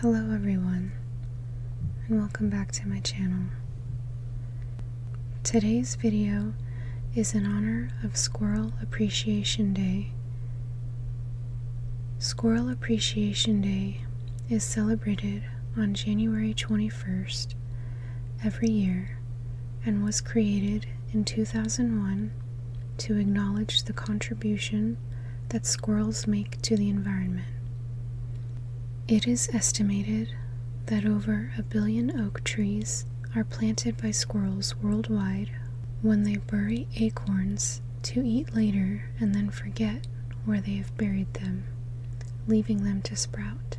Hello everyone and welcome back to my channel. Today's video is in honor of Squirrel Appreciation Day. Squirrel Appreciation Day is celebrated on January 21st every year and was created in 2001 to acknowledge the contribution that squirrels make to the environment. It is estimated that over a billion oak trees are planted by squirrels worldwide when they bury acorns to eat later and then forget where they have buried them, leaving them to sprout.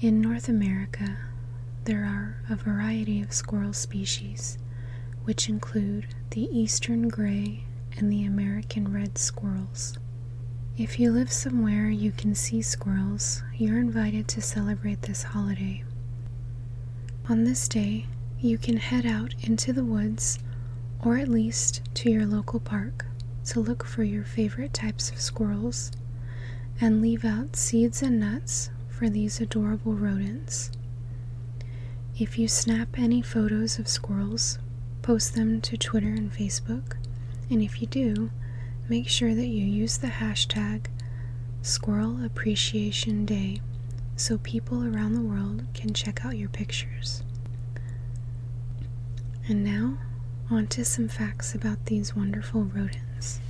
In North America, there are a variety of squirrel species, which include the eastern gray and the American red squirrels. If you live somewhere you can see squirrels, you're invited to celebrate this holiday. On this day, you can head out into the woods or at least to your local park to look for your favorite types of squirrels and leave out seeds and nuts for these adorable rodents. If you snap any photos of squirrels, post them to Twitter and Facebook, and if you do, make sure that you use the hashtag Squirrel Appreciation Day so people around the world can check out your pictures. And now, on to some facts about these wonderful rodents.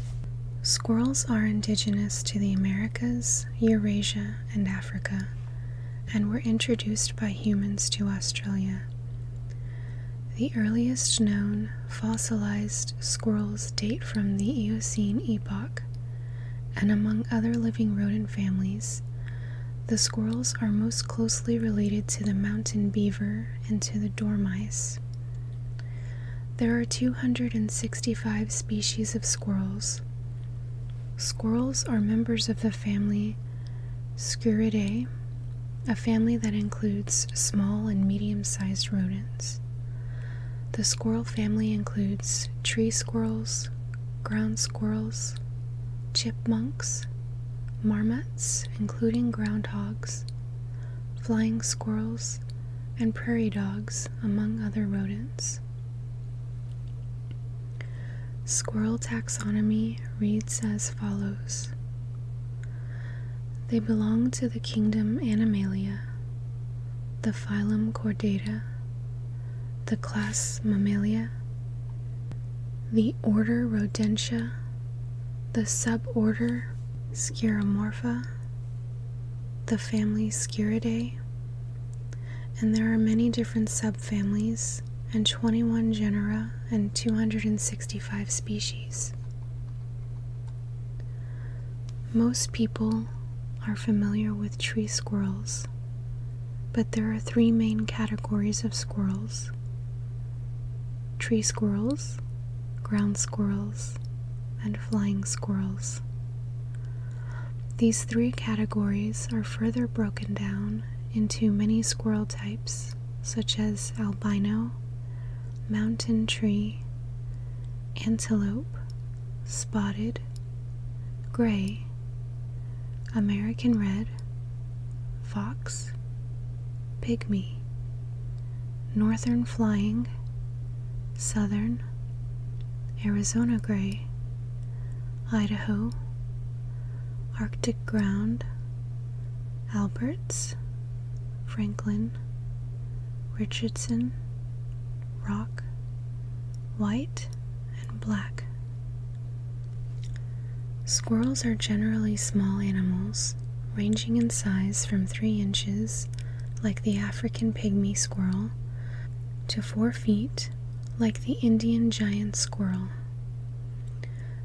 Squirrels are indigenous to the Americas, Eurasia, and Africa and were introduced by humans to Australia. The earliest known fossilized squirrels date from the Eocene epoch, and among other living rodent families, the squirrels are most closely related to the mountain beaver and to the dormice. There are 265 species of squirrels, Squirrels are members of the family Sciuridae, a family that includes small and medium sized rodents. The squirrel family includes tree squirrels, ground squirrels, chipmunks, marmots, including groundhogs, flying squirrels, and prairie dogs, among other rodents. Squirrel taxonomy reads as follows They belong to the kingdom Animalia, the phylum Chordata, the class Mammalia, the order Rodentia, the suborder Sciuromorpha, the family Sciuridae, and there are many different subfamilies and 21 genera and 265 species. Most people are familiar with tree squirrels, but there are three main categories of squirrels tree squirrels, ground squirrels, and flying squirrels. These three categories are further broken down into many squirrel types, such as albino, mountain tree, antelope, spotted, gray, American red, fox, pygmy, northern flying, southern, Arizona gray, Idaho, Arctic Ground, Alberts, Franklin, Richardson, Rock, White, and Black. Squirrels are generally small animals, ranging in size from 3 inches, like the African pygmy squirrel, to four feet, like the Indian giant squirrel.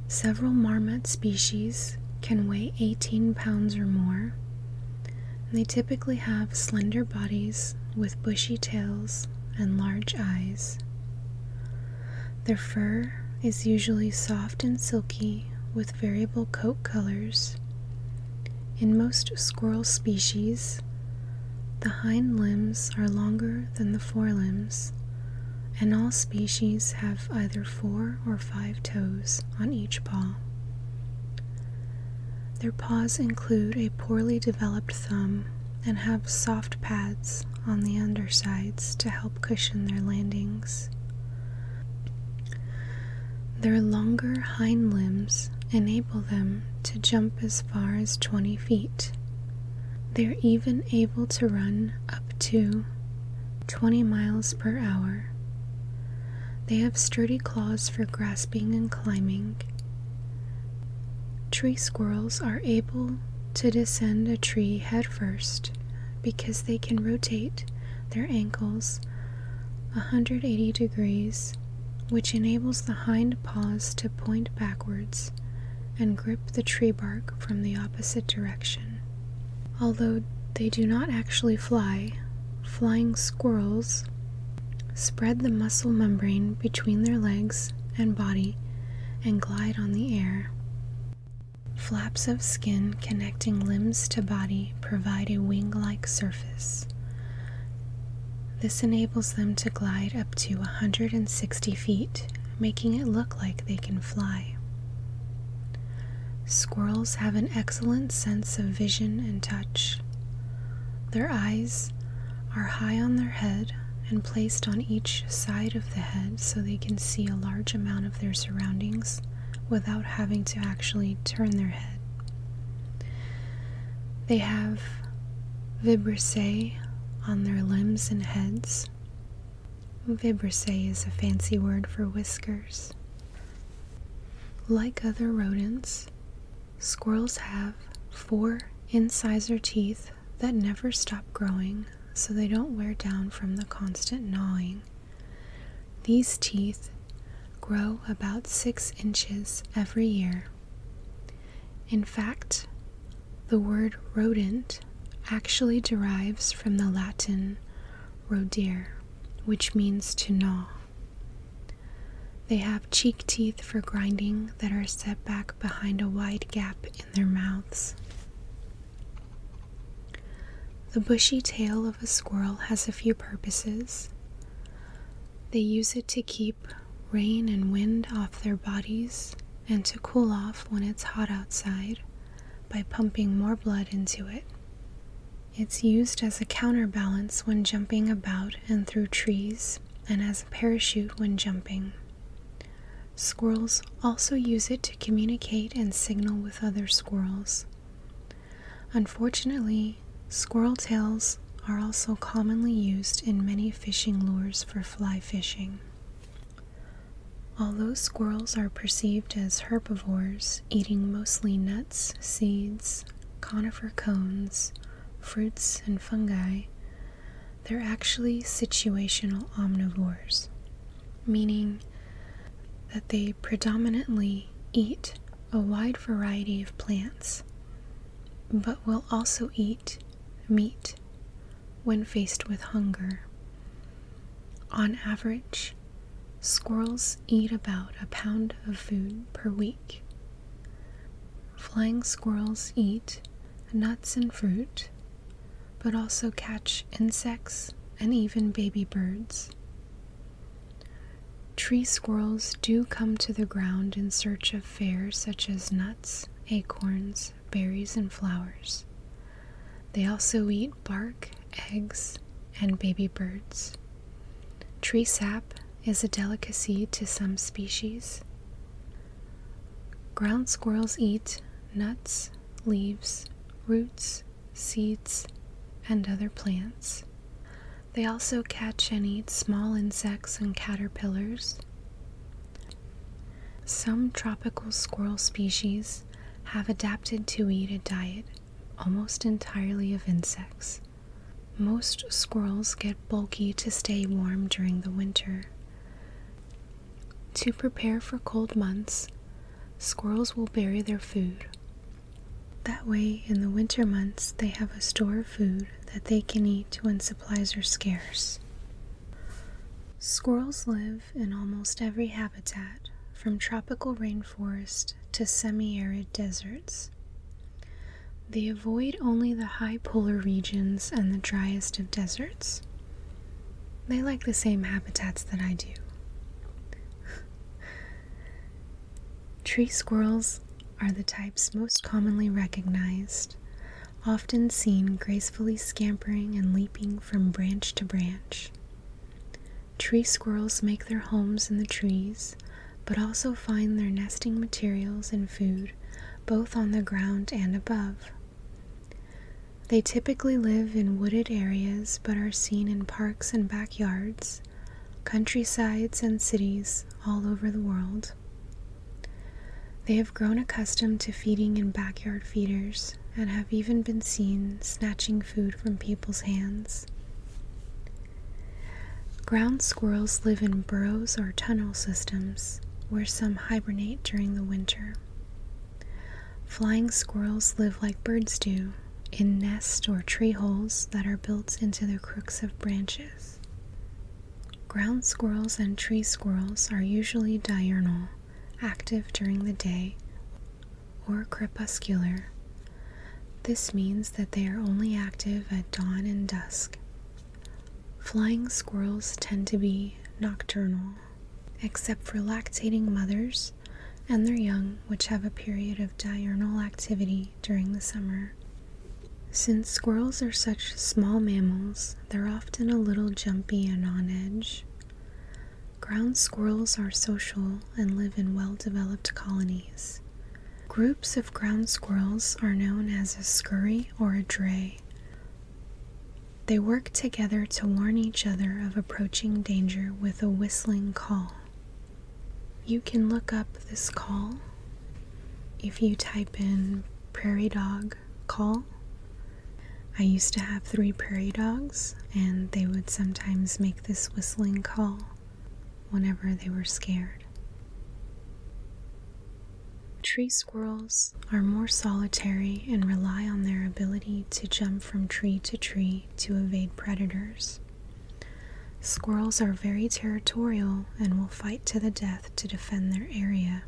Several marmot species can weigh 18 pounds or more. They typically have slender bodies with bushy tails and large eyes. Their fur is usually soft and silky with variable coat colors, in most squirrel species, the hind limbs are longer than the forelimbs, and all species have either four or five toes on each paw. Their paws include a poorly developed thumb and have soft pads on the undersides to help cushion their landings. Their longer hind limbs enable them to jump as far as 20 feet. They're even able to run up to 20 miles per hour. They have sturdy claws for grasping and climbing. Tree squirrels are able to descend a tree headfirst because they can rotate their ankles 180 degrees which enables the hind paws to point backwards and grip the tree bark from the opposite direction. Although they do not actually fly, flying squirrels spread the muscle membrane between their legs and body and glide on the air. Flaps of skin connecting limbs to body provide a wing like surface. This enables them to glide up to 160 feet, making it look like they can fly. Squirrels have an excellent sense of vision and touch. Their eyes are high on their head and placed on each side of the head so they can see a large amount of their surroundings without having to actually turn their head. They have vibrissae on their limbs and heads. Vibrissae is a fancy word for whiskers. Like other rodents, squirrels have four incisor teeth that never stop growing so they don't wear down from the constant gnawing. These teeth grow about six inches every year in fact, the word rodent actually derives from the Latin rodere, which means to gnaw. They have cheek teeth for grinding that are set back behind a wide gap in their mouths. The bushy tail of a squirrel has a few purposes. They use it to keep rain and wind off their bodies and to cool off when it's hot outside by pumping more blood into it. It's used as a counterbalance when jumping about and through trees and as a parachute when jumping. Squirrels also use it to communicate and signal with other squirrels. Unfortunately, Squirrel tails are also commonly used in many fishing lures for fly fishing. Although squirrels are perceived as herbivores, eating mostly nuts, seeds, conifer cones, fruits, and fungi, they're actually situational omnivores, meaning that they predominantly eat a wide variety of plants, but will also eat meat when faced with hunger. On average, squirrels eat about a pound of food per week. Flying squirrels eat nuts and fruit, but also catch insects and even baby birds. Tree squirrels do come to the ground in search of fare such as nuts, acorns, berries, and flowers. They also eat bark, eggs, and baby birds. Tree sap is a delicacy to some species. Ground squirrels eat nuts, leaves, roots, seeds, and other plants. They also catch and eat small insects and caterpillars. Some tropical squirrel species have adapted to eat a diet almost entirely of insects. Most squirrels get bulky to stay warm during the winter. To prepare for cold months, squirrels will bury their food that way, in the winter months, they have a store of food that they can eat when supplies are scarce. Squirrels live in almost every habitat, from tropical rainforest to semi arid deserts. They avoid only the high polar regions and the driest of deserts. They like the same habitats that I do. Tree squirrels are the types most commonly recognized, often seen gracefully scampering and leaping from branch to branch. Tree squirrels make their homes in the trees, but also find their nesting materials and food both on the ground and above. They typically live in wooded areas but are seen in parks and backyards, countrysides, and cities all over the world. They have grown accustomed to feeding in backyard feeders and have even been seen snatching food from people's hands. Ground squirrels live in burrows or tunnel systems where some hibernate during the winter. Flying squirrels live like birds do in nests or tree holes that are built into the crooks of branches. Ground squirrels and tree squirrels are usually diurnal, active during the day, or crepuscular. This means that they are only active at dawn and dusk. Flying squirrels tend to be nocturnal, except for lactating mothers and their young, which have a period of diurnal activity during the summer. Since squirrels are such small mammals, they're often a little jumpy and on edge. Ground squirrels are social and live in well developed colonies. Groups of ground squirrels are known as a scurry or a dray. They work together to warn each other of approaching danger with a whistling call. You can look up this call if you type in prairie dog call. I used to have three prairie dogs, and they would sometimes make this whistling call whenever they were scared. Tree squirrels are more solitary and rely on their ability to jump from tree to tree to evade predators. Squirrels are very territorial and will fight to the death to defend their area.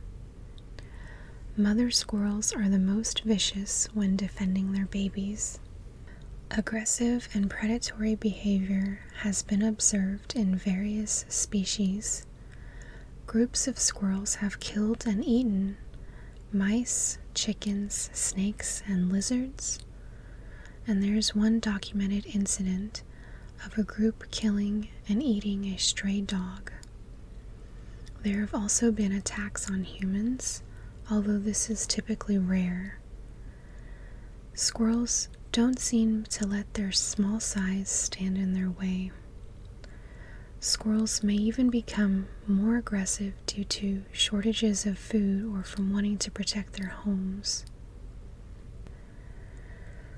Mother squirrels are the most vicious when defending their babies. Aggressive and predatory behavior has been observed in various species. Groups of squirrels have killed and eaten mice, chickens, snakes, and lizards, and there is one documented incident of a group killing and eating a stray dog. There have also been attacks on humans, although this is typically rare. Squirrels don't seem to let their small size stand in their way. Squirrels may even become more aggressive due to shortages of food or from wanting to protect their homes.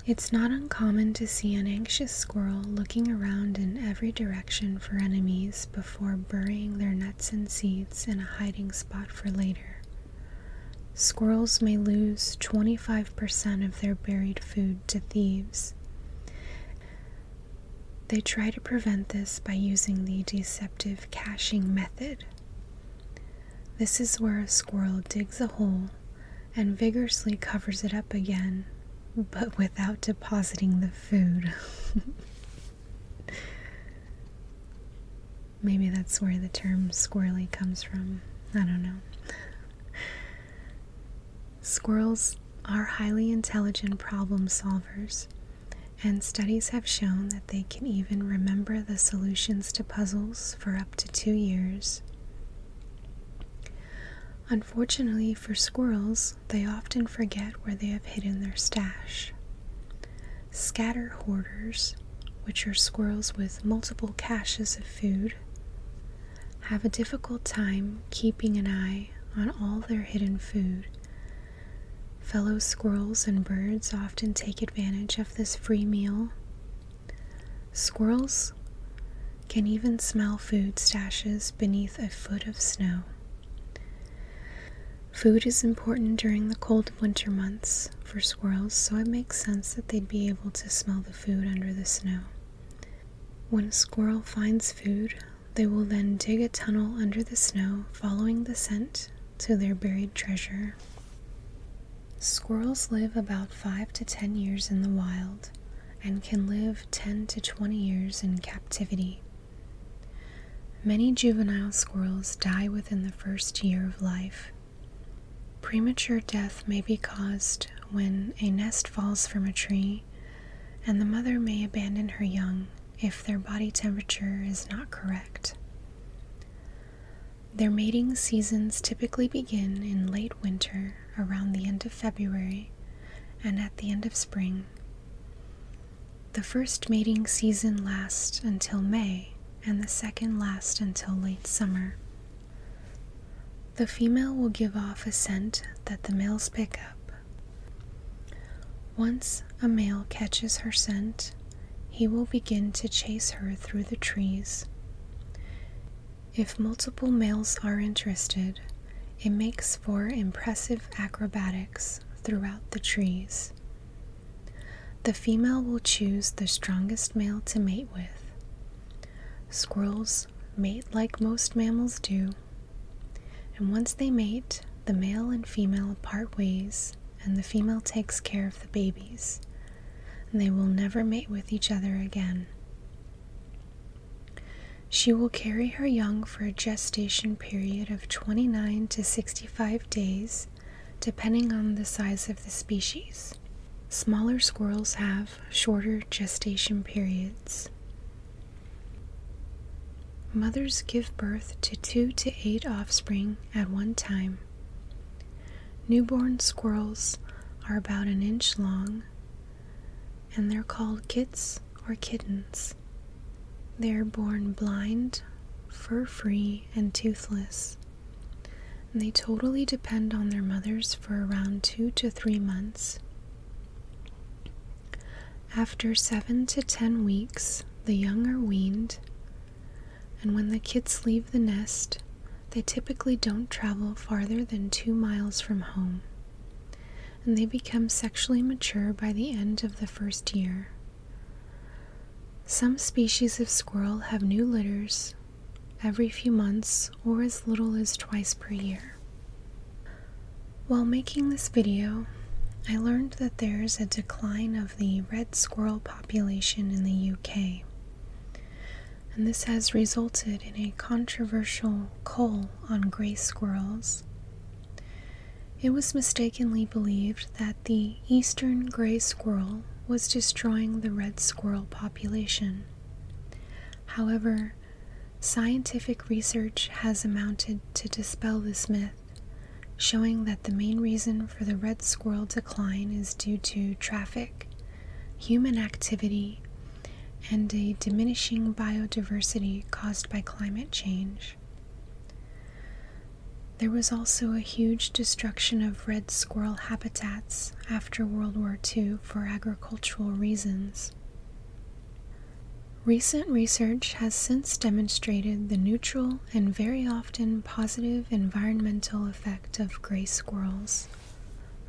It's not uncommon to see an anxious squirrel looking around in every direction for enemies before burying their nuts and seeds in a hiding spot for later. Squirrels may lose 25% of their buried food to thieves. They try to prevent this by using the deceptive caching method. This is where a squirrel digs a hole and vigorously covers it up again, but without depositing the food. Maybe that's where the term squirrely comes from. I don't know. Squirrels are highly intelligent problem solvers, and studies have shown that they can even remember the solutions to puzzles for up to two years. Unfortunately for squirrels, they often forget where they have hidden their stash. Scatter hoarders, which are squirrels with multiple caches of food, have a difficult time keeping an eye on all their hidden food Fellow squirrels and birds often take advantage of this free meal. Squirrels can even smell food stashes beneath a foot of snow. Food is important during the cold winter months for squirrels, so it makes sense that they'd be able to smell the food under the snow. When a squirrel finds food, they will then dig a tunnel under the snow, following the scent to their buried treasure. Squirrels live about 5 to 10 years in the wild and can live 10 to 20 years in captivity. Many juvenile squirrels die within the first year of life. Premature death may be caused when a nest falls from a tree, and the mother may abandon her young if their body temperature is not correct. Their mating seasons typically begin in late winter around the end of February and at the end of spring. The first mating season lasts until May and the second lasts until late summer. The female will give off a scent that the males pick up. Once a male catches her scent, he will begin to chase her through the trees. If multiple males are interested, it makes for impressive acrobatics throughout the trees. The female will choose the strongest male to mate with. Squirrels mate like most mammals do, and once they mate, the male and female part ways and the female takes care of the babies, they will never mate with each other again. She will carry her young for a gestation period of 29 to 65 days, depending on the size of the species. Smaller squirrels have shorter gestation periods. Mothers give birth to two to eight offspring at one time Newborn squirrels are about an inch long and they're called kits or kittens. They're born blind, fur free, and toothless. they totally depend on their mothers for around two to three months. After seven to ten weeks, the young are weaned and when the kits leave the nest, they typically don't travel farther than two miles from home, and they become sexually mature by the end of the first year. Some species of squirrel have new litters every few months or as little as twice per year. While making this video, I learned that there is a decline of the red squirrel population in the UK. And this has resulted in a controversial call on grey squirrels. It was mistakenly believed that the eastern grey squirrel was destroying the red squirrel population. However, scientific research has amounted to dispel this myth showing that the main reason for the red squirrel decline is due to traffic, human activity, and a diminishing biodiversity caused by climate change. There was also a huge destruction of red squirrel habitats after World War II for agricultural reasons. Recent research has since demonstrated the neutral and very often positive environmental effect of gray squirrels.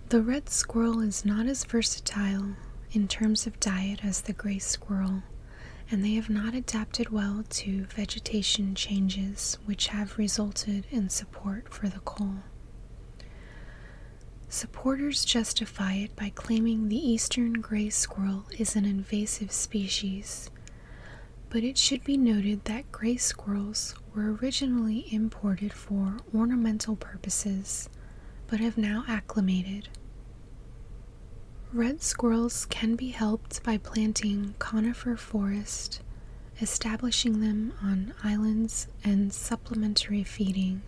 The red squirrel is not as versatile in terms of diet as the gray squirrel, and they have not adapted well to vegetation changes which have resulted in support for the coal. Supporters justify it by claiming the eastern gray squirrel is an invasive species but it should be noted that gray squirrels were originally imported for ornamental purposes, but have now acclimated. Red squirrels can be helped by planting conifer forest, establishing them on islands, and supplementary feeding.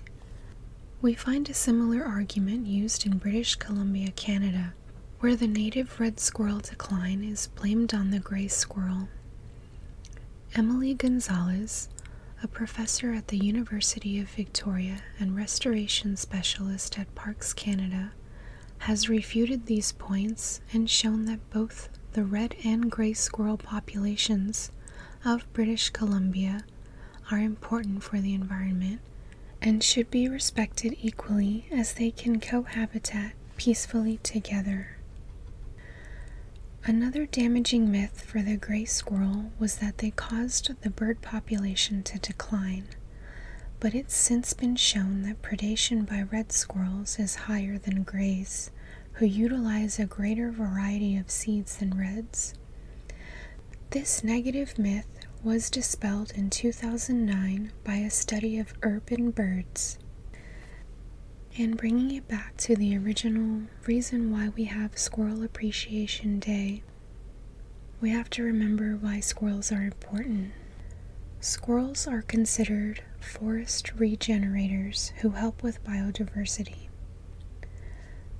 We find a similar argument used in British Columbia, Canada, where the native red squirrel decline is blamed on the gray squirrel. Emily Gonzalez, a professor at the University of Victoria and restoration specialist at Parks Canada, has refuted these points and shown that both the red and gray squirrel populations of British Columbia are important for the environment and should be respected equally as they can cohabitat peacefully together. Another damaging myth for the gray squirrel was that they caused the bird population to decline, but it's since been shown that predation by red squirrels is higher than grays, who utilize a greater variety of seeds than reds. This negative myth was dispelled in 2009 by a study of urban birds. And bringing it back to the original reason why we have Squirrel Appreciation Day, we have to remember why squirrels are important. Squirrels are considered forest regenerators who help with biodiversity.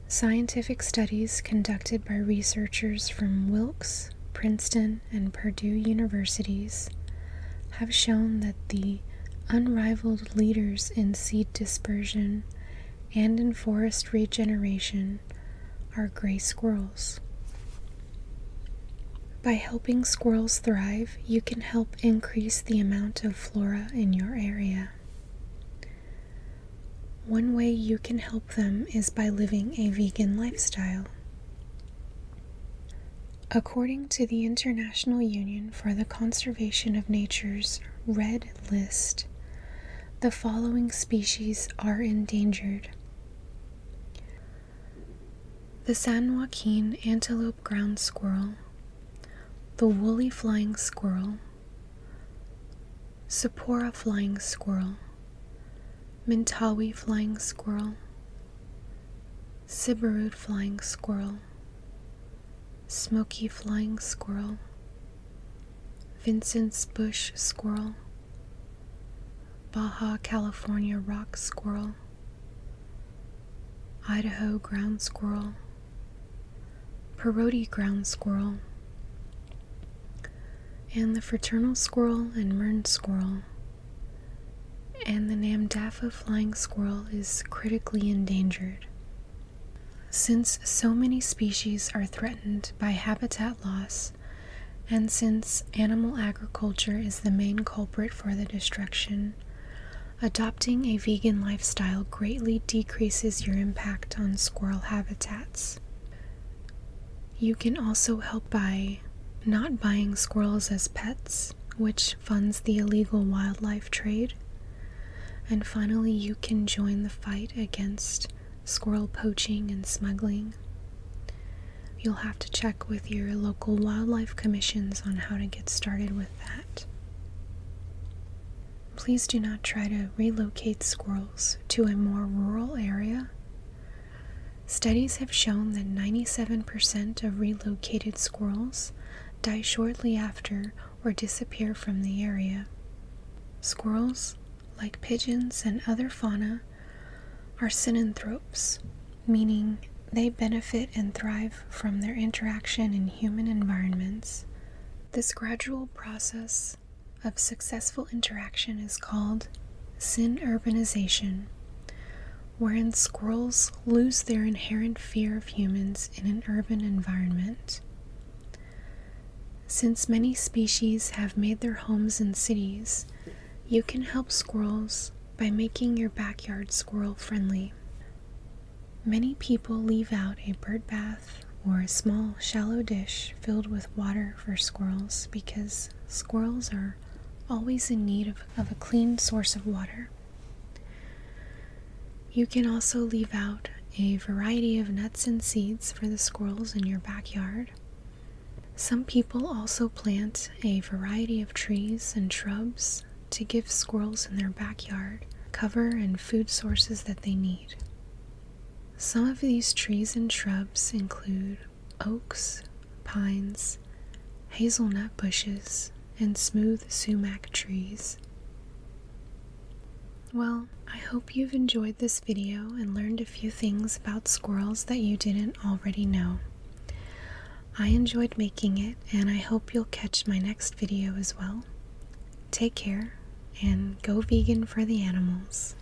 Scientific studies conducted by researchers from Wilkes, Princeton, and Purdue universities have shown that the unrivaled leaders in seed dispersion and in forest regeneration are gray squirrels. By helping squirrels thrive, you can help increase the amount of flora in your area. One way you can help them is by living a vegan lifestyle. According to the International Union for the Conservation of Nature's Red List, the following species are endangered the San Joaquin antelope ground squirrel, the woolly flying squirrel, Sapora flying squirrel, Mintawi flying squirrel, Sibirud flying squirrel, Smoky flying squirrel, Vincent's bush squirrel, Baja California rock squirrel, Idaho ground squirrel, Parodi ground squirrel, and the fraternal squirrel and mern squirrel and the Namdafa flying squirrel is critically endangered. Since so many species are threatened by habitat loss, and since animal agriculture is the main culprit for the destruction, adopting a vegan lifestyle greatly decreases your impact on squirrel habitats. You can also help by not buying squirrels as pets, which funds the illegal wildlife trade. And finally, you can join the fight against squirrel poaching and smuggling. You'll have to check with your local wildlife commissions on how to get started with that. Please do not try to relocate squirrels to a more rural area Studies have shown that 97% of relocated squirrels die shortly after or disappear from the area. Squirrels, like pigeons and other fauna, are synanthropes, meaning they benefit and thrive from their interaction in human environments. This gradual process of successful interaction is called sin urbanization, wherein squirrels lose their inherent fear of humans in an urban environment. Since many species have made their homes in cities, you can help squirrels by making your backyard squirrel friendly. Many people leave out a bird bath or a small shallow dish filled with water for squirrels because squirrels are always in need of, a clean source of water. You can also leave out a variety of nuts and seeds for the squirrels in your backyard. Some people also plant a variety of trees and shrubs to give squirrels in their backyard cover and food sources that they need. Some of these trees and shrubs include oaks, pines, hazelnut bushes, and smooth sumac trees. Well, I hope you've enjoyed this video and learned a few things about squirrels that you didn't already know. I enjoyed making it, and I hope you'll catch my next video as well. Take care, and go vegan for the animals.